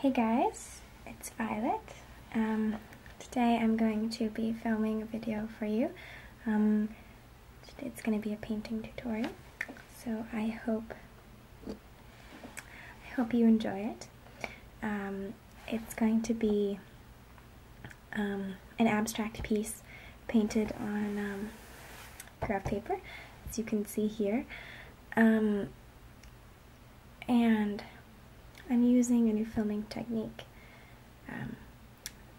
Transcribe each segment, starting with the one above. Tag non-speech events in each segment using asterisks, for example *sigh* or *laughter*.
Hey guys, it's Violet. Um, today I'm going to be filming a video for you. Um, it's going to be a painting tutorial, so I hope I hope you enjoy it. Um, it's going to be um, an abstract piece painted on um, graph paper, as you can see here. Um, and I'm using a new filming technique. Um,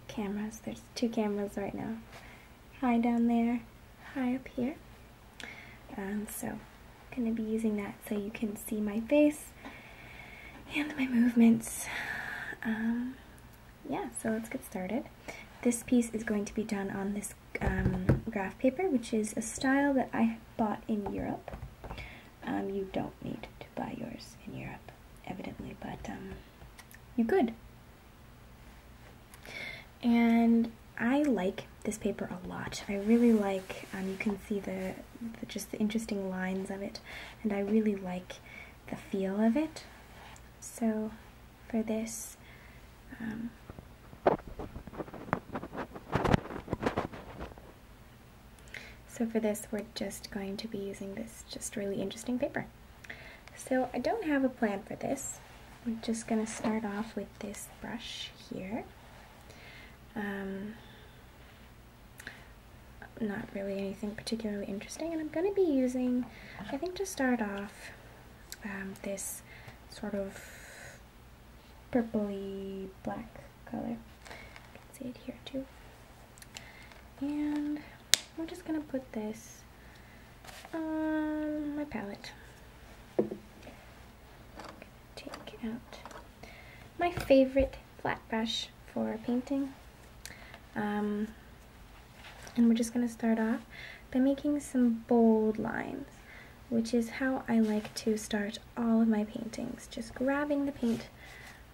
cameras, there's two cameras right now. High down there, high up here. Um, so I'm going to be using that so you can see my face and my movements. yeah, so let's get started. This piece is going to be done on this um, graph paper, which is a style that I bought in Europe. Um, you don't need to buy yours in Europe, evidently, but um, you could. And I like this paper a lot. I really like, you can see the, just the interesting lines of it, and I really like the feel of it. So for this, um, so for this, we're just going to be using this just really interesting paper. So I don't have a plan for this. We're just going to start off with this brush here. Um, not really anything particularly interesting, and I'm going to be using, I think to start off, um, this sort of purpley black color. You can see it here too. And we're just gonna put this on my palette. Take out my favorite flat brush for painting. Um, and we're just gonna start off by making some bold lines which is how I like to start all of my paintings. Just grabbing the paint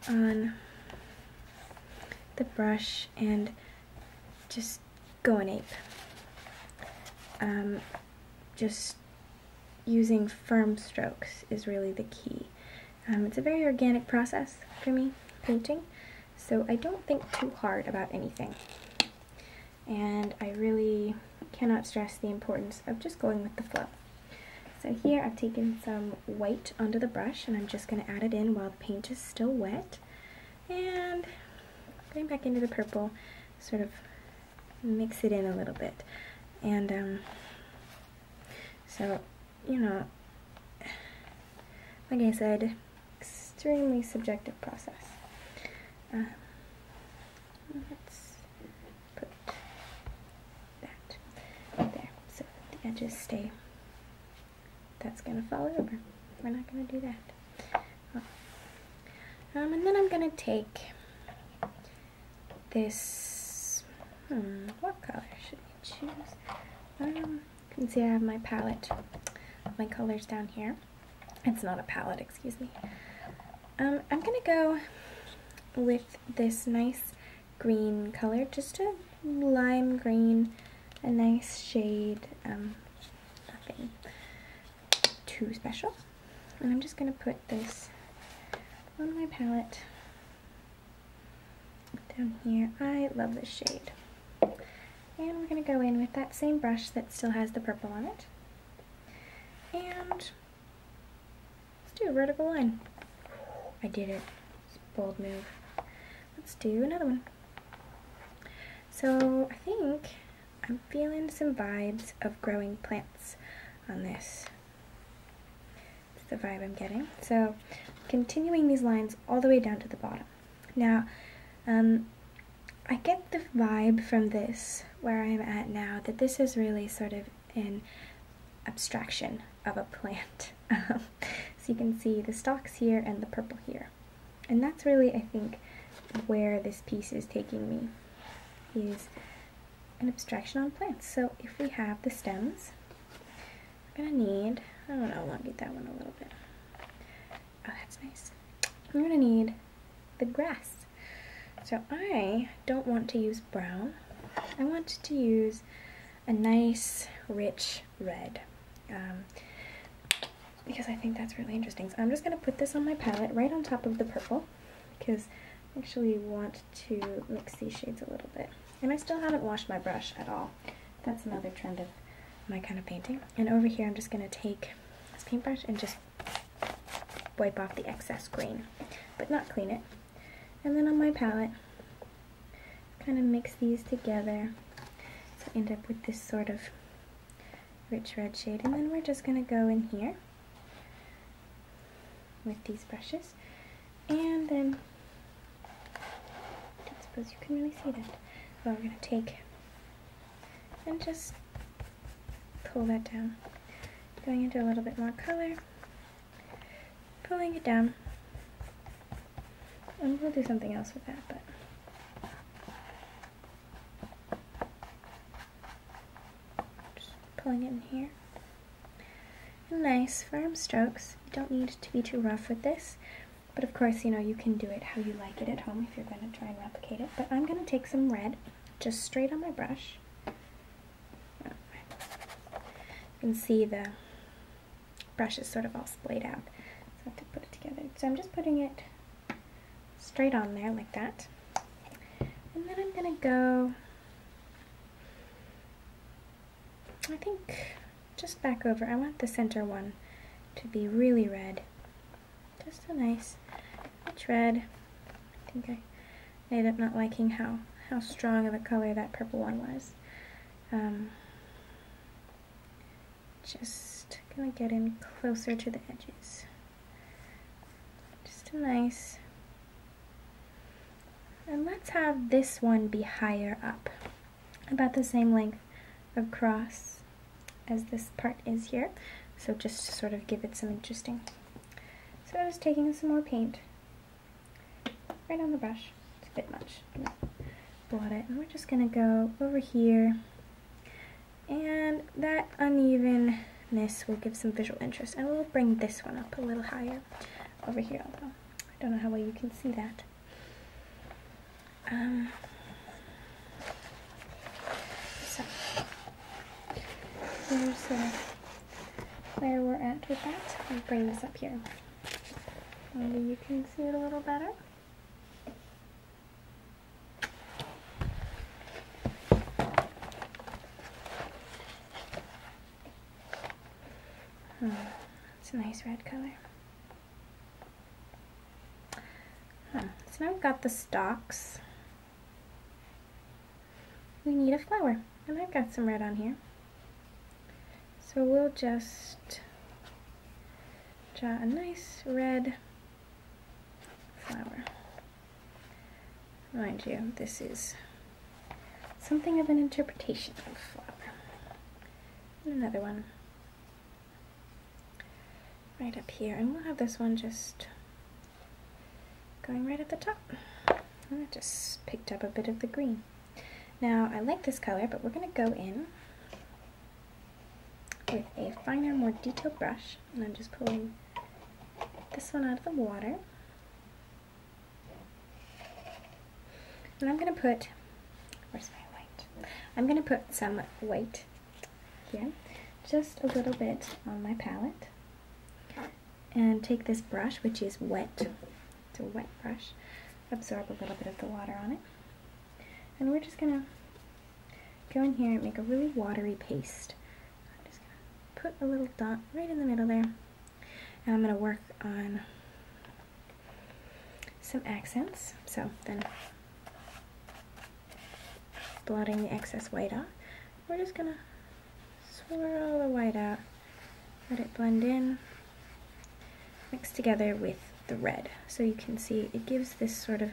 on the brush and just going ape. Um, just using firm strokes is really the key. Um, it's a very organic process for me, painting, so I don't think too hard about anything and I really cannot stress the importance of just going with the flow. So here I've taken some white under the brush and I'm just going to add it in while the paint is still wet and going back into the purple sort of mix it in a little bit and um, so you know like I said extremely subjective process uh, let's put that there so the edges stay. That's going to fall over. We're not going to do that. Oh. Um, and then I'm going to take this, hmm, what color should we choose? Um, you can see I have my palette, my colors down here. It's not a palette, excuse me. Um, I'm going to go with this nice green color, just a lime green, a nice shade, um, nothing too special. And I'm just going to put this on my palette down here. I love this shade. And we're going to go in with that same brush that still has the purple on it. And let's do a vertical line. I did it. bold move. Let's do another one. So I think I'm feeling some vibes of growing plants on this. It's the vibe I'm getting. So continuing these lines all the way down to the bottom. Now, um, I get the vibe from this, where I'm at now, that this is really sort of an abstraction of a plant. *laughs* Um, so you can see the stalks here and the purple here. And that's really, I think, where this piece is taking me, is an abstraction on plants. So if we have the stems, we're gonna need, I don't know, I want to get that one a little bit. Oh, that's nice. We're gonna need the grass. So I don't want to use brown. I want to use a nice, rich red. Um, because I think that's really interesting. So I'm just going to put this on my palette right on top of the purple because I actually want to mix these shades a little bit. And I still haven't washed my brush at all. That's another trend of my kind of painting. And over here I'm just going to take this paintbrush and just wipe off the excess green, but not clean it. And then on my palette, kind of mix these together to end up with this sort of rich red shade. And then we're just going to go in here with these brushes. And then, I don't suppose you can really see that. But we're going to take and just pull that down. Going into a little bit more color, pulling it down, and we'll do something else with that, but. pulling it in here. Nice firm strokes. You don't need to be too rough with this. But of course, you know, you can do it how you like it at home if you're going to try and replicate it. But I'm going to take some red just straight on my brush. You can see the brush is sort of all splayed out. So I have to put it together. So I'm just putting it straight on there like that. And then I'm going to go, I think, just back over. I want the center one to be really red just a nice rich red. I think I ended up not liking how, how strong of a color that purple one was. Um, just gonna get in closer to the edges. Just a nice, and let's have this one be higher up, about the same length across as this part is here. So just to sort of give it some interesting. So I was taking some more paint right on the brush. It's a bit much. Blot it. And we're just going to go over here. And that unevenness will give some visual interest. And we'll bring this one up a little higher over here. Although I don't know how well you can see that. Um, so here's uh, where we're at with that. I'll bring this up here. Maybe you can see it a little better. Hmm. It's a nice red color. Hmm, so now we've got the stocks we need a flower and I've got some red on here so we'll just draw a nice red flower mind you this is something of an interpretation of flower and another one right up here and we'll have this one just Going right at the top. I just picked up a bit of the green. Now, I like this color, but we're going to go in with a finer, more detailed brush. And I'm just pulling this one out of the water. And I'm going to put, where's my white? I'm going to put some white here, just a little bit on my palette. And take this brush, which is wet, it's a wet brush, absorb a little bit of the water on it. And we're just gonna go in here and make a really watery paste. I'm just gonna put a little dot right in the middle there. And I'm gonna work on some accents. So then blotting the excess white off we're just gonna swirl the white out, let it blend in, mix together with the red. So you can see it gives this sort of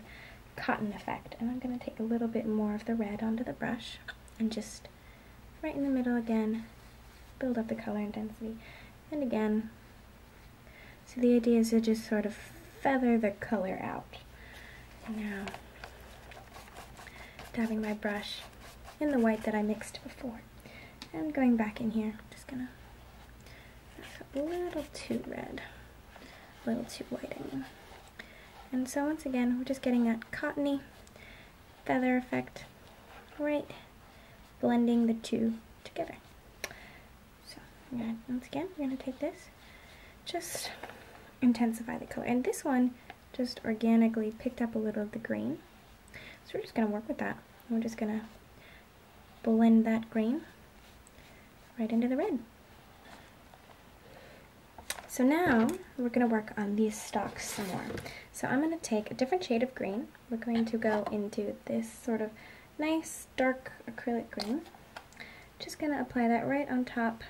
cotton effect. And I'm gonna take a little bit more of the red onto the brush and just right in the middle again, build up the color intensity. And again, so the idea is to just sort of feather the color out. Now, dabbing my brush in the white that I mixed before. And going back in here, just gonna, that's a little too red, a little too white And so once again, we're just getting that cottony feather effect, right, blending the two together. So, once again, we're gonna take this, just intensify the color. And this one just organically picked up a little of the green. So we're just going to work with that. We're just going to blend that green right into the red. So now we're going to work on these stalks some more. So I'm going to take a different shade of green. We're going to go into this sort of nice dark acrylic green. Just going to apply that right on top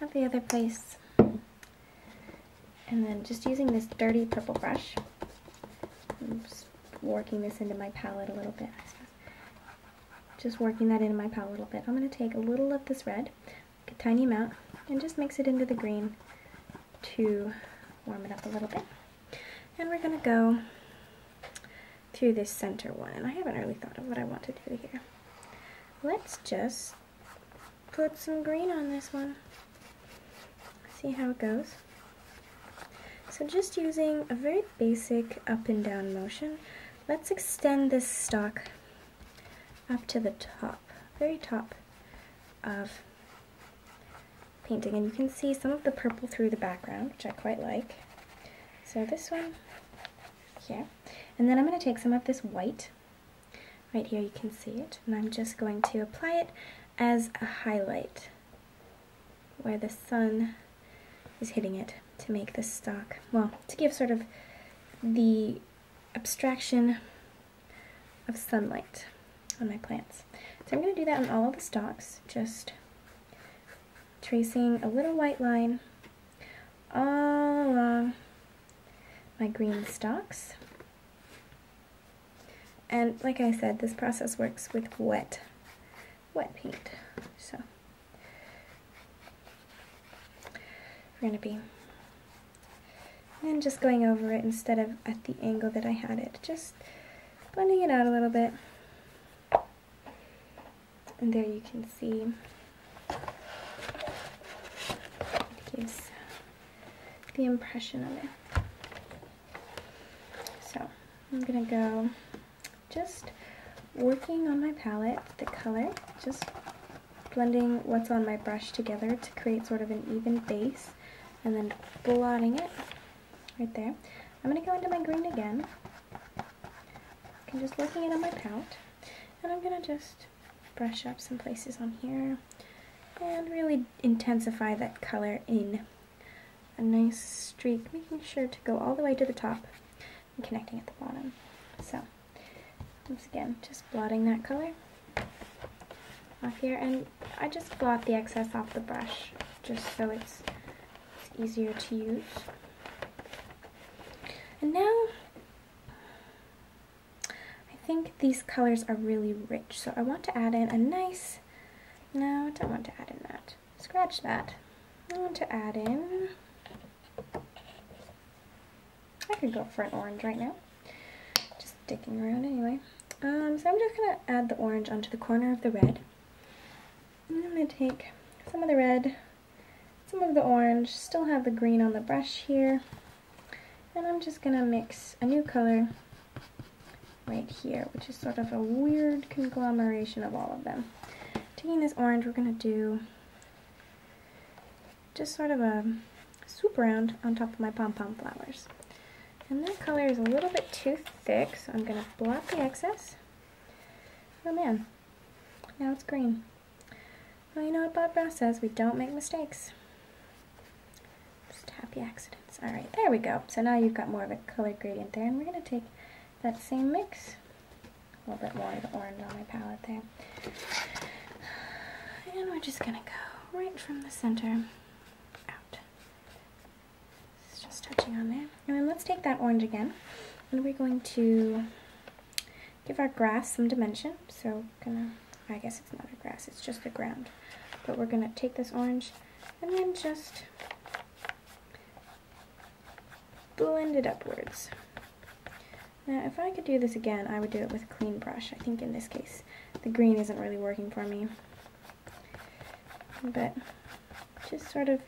at the other place. And then just using this dirty purple brush, I'm just working this into my palette a little bit. Just working that into my palette a little bit. I'm going to take a little of this red, a tiny amount, and just mix it into the green to warm it up a little bit. And we're going to go through this center one. And I haven't really thought of what I want to do here. Let's just put some green on this one. See how it goes. So just using a very basic up and down motion, let's extend this stock up to the top, very top of painting. And you can see some of the purple through the background, which I quite like. So this one here and then I'm going to take some of this white, right here you can see it, and I'm just going to apply it as a highlight where the sun is hitting it to make the stock, well, to give sort of the abstraction of sunlight on my plants. So I'm going to do that on all of the stalks, just tracing a little white line all my green stalks. And like I said, this process works with wet, wet paint. So we're gonna be, and just going over it instead of at the angle that I had it, just blending it out a little bit and there you can see gives the impression of it. So I'm gonna go just working on my palette, the color, just blending what's on my brush together to create sort of an even base and then blotting it right there. I'm gonna go into my green again I'm just working it on my palette. And I'm going to just brush up some places on here and really intensify that color in a nice streak, making sure to go all the way to the top and connecting at the bottom. So, once again, just blotting that color off here. And I just blot the excess off the brush just so it's easier to use. And now I think these colors are really rich, so I want to add in a nice, no, I don't want to add in that. Scratch that. I want to add in, I can go for an orange right now. Just sticking around anyway. Um, so I'm just going to add the orange onto the corner of the red. I'm going to take some of the red, some of the orange, still have the green on the brush here. And I'm just gonna mix a new color right here, which is sort of a weird conglomeration of all of them. Taking this orange, we're gonna do just sort of a swoop around on top of my pom-pom flowers. And that color is a little bit too thick, so I'm gonna blot the excess. Oh man, now it's green. Well, you know what Bob Ross says, we don't make mistakes. Just happy accidents. All right, there we go. So now you've got more of a color gradient there, and we're gonna take that same mix, a little bit more of the orange on my palette there. And we're just gonna go right from the center out. It's just touching on there. And then let's take that orange again, and we're going to give our grass some dimension. So gonna, I guess it's not a grass, it's just the ground. But we're gonna take this orange and then just blend it upwards. Now, if I could do this again, I would do it with a clean brush. I think in this case, the green isn't really working for me. But just sort of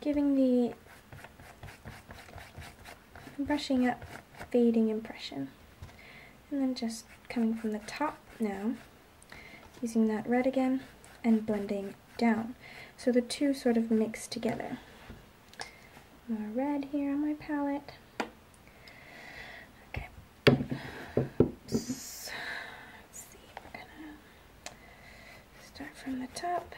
giving the brushing up fading impression. And then just coming from the top now, using that red again, and blending down. So the two sort of mix together. More red here on my palette. Okay. Let's see, we're gonna start from the top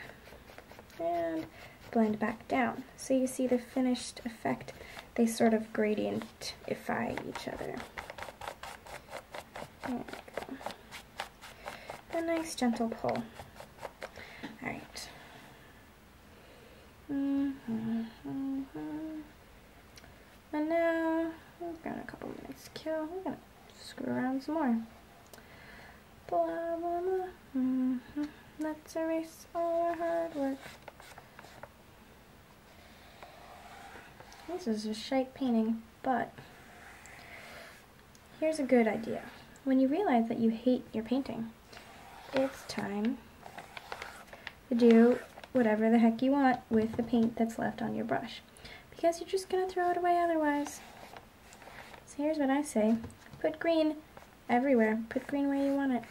and blend back down. So you see the finished effect, they sort of gradientify each other. A nice gentle pull. All right. Mm-hmm, mm-hmm, mm-hmm. And now we've got a couple minutes to kill. We're gonna screw around some more. Blah, blah, Let's mm-hmm. erase all our hard work. This is a shite painting, but here's a good idea. When you realize that you hate your painting, it's time to do whatever the heck you want with the paint that's left on your brush because you're just going to throw it away otherwise. So here's what I say. Put green everywhere. Put green where you want it.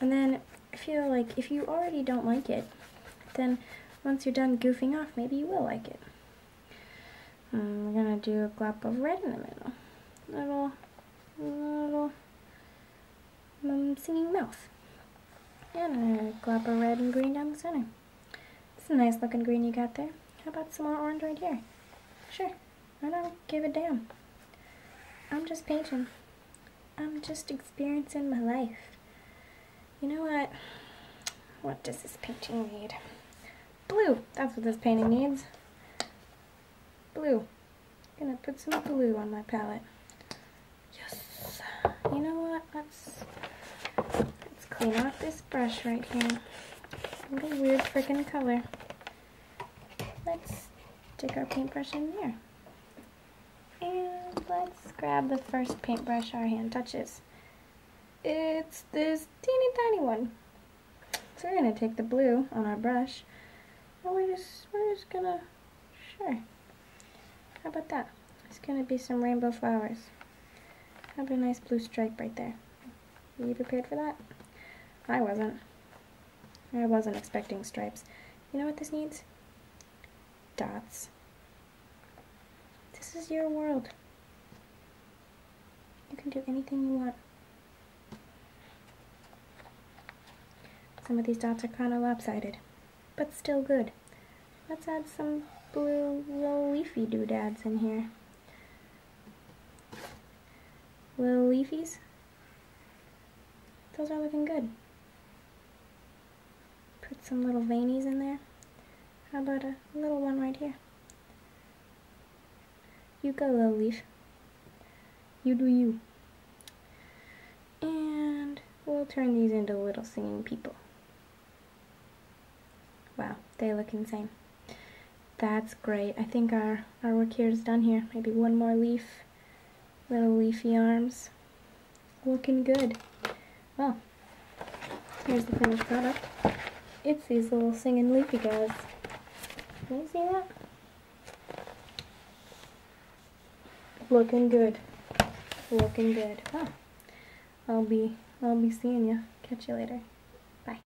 And then I feel like if you already don't like it, then once you're done goofing off, maybe you will like it. Um, we're gonna do a glop of red in the middle. Little, little um, singing mouth. And a glop of red and green down the center. It's a nice looking green you got there. How about some more orange right here? Sure. I don't give a damn. I'm just painting. I'm just experiencing my life. You know what? What does this painting need? Blue! That's what this painting needs. Blue. gonna put some blue on my palette. Yes! You know what? Let's, let's clean off this brush right here. What a weird freaking color. Let's stick our paintbrush in there. And let's grab the first paintbrush our hand touches. It's this teeny tiny one. So we're going to take the blue on our brush. And we're just, we're just going to, sure. How about that? It's going to be some rainbow flowers. That'll be a nice blue stripe right there. Were you prepared for that? I wasn't. I wasn't expecting stripes. You know what this needs? Dots. This is your world. You can do anything you want. Some of these dots are kind of lopsided, but still good. Let's add some blue little leafy doodads in here. Little leafies. Those are looking good. Put some little veinies in there. How about a little one right here? You go, little leaf. You do you. And we'll turn these into little singing people. Wow, they look insane. That's great. I think our, our work here is done here. Maybe one more leaf. Little leafy arms. Looking good. Well, here's the finished product. It's these little singing leafy guys. Can you see that? Looking good. Looking good. Well, I'll be I'll be seeing you. Catch you later. Bye.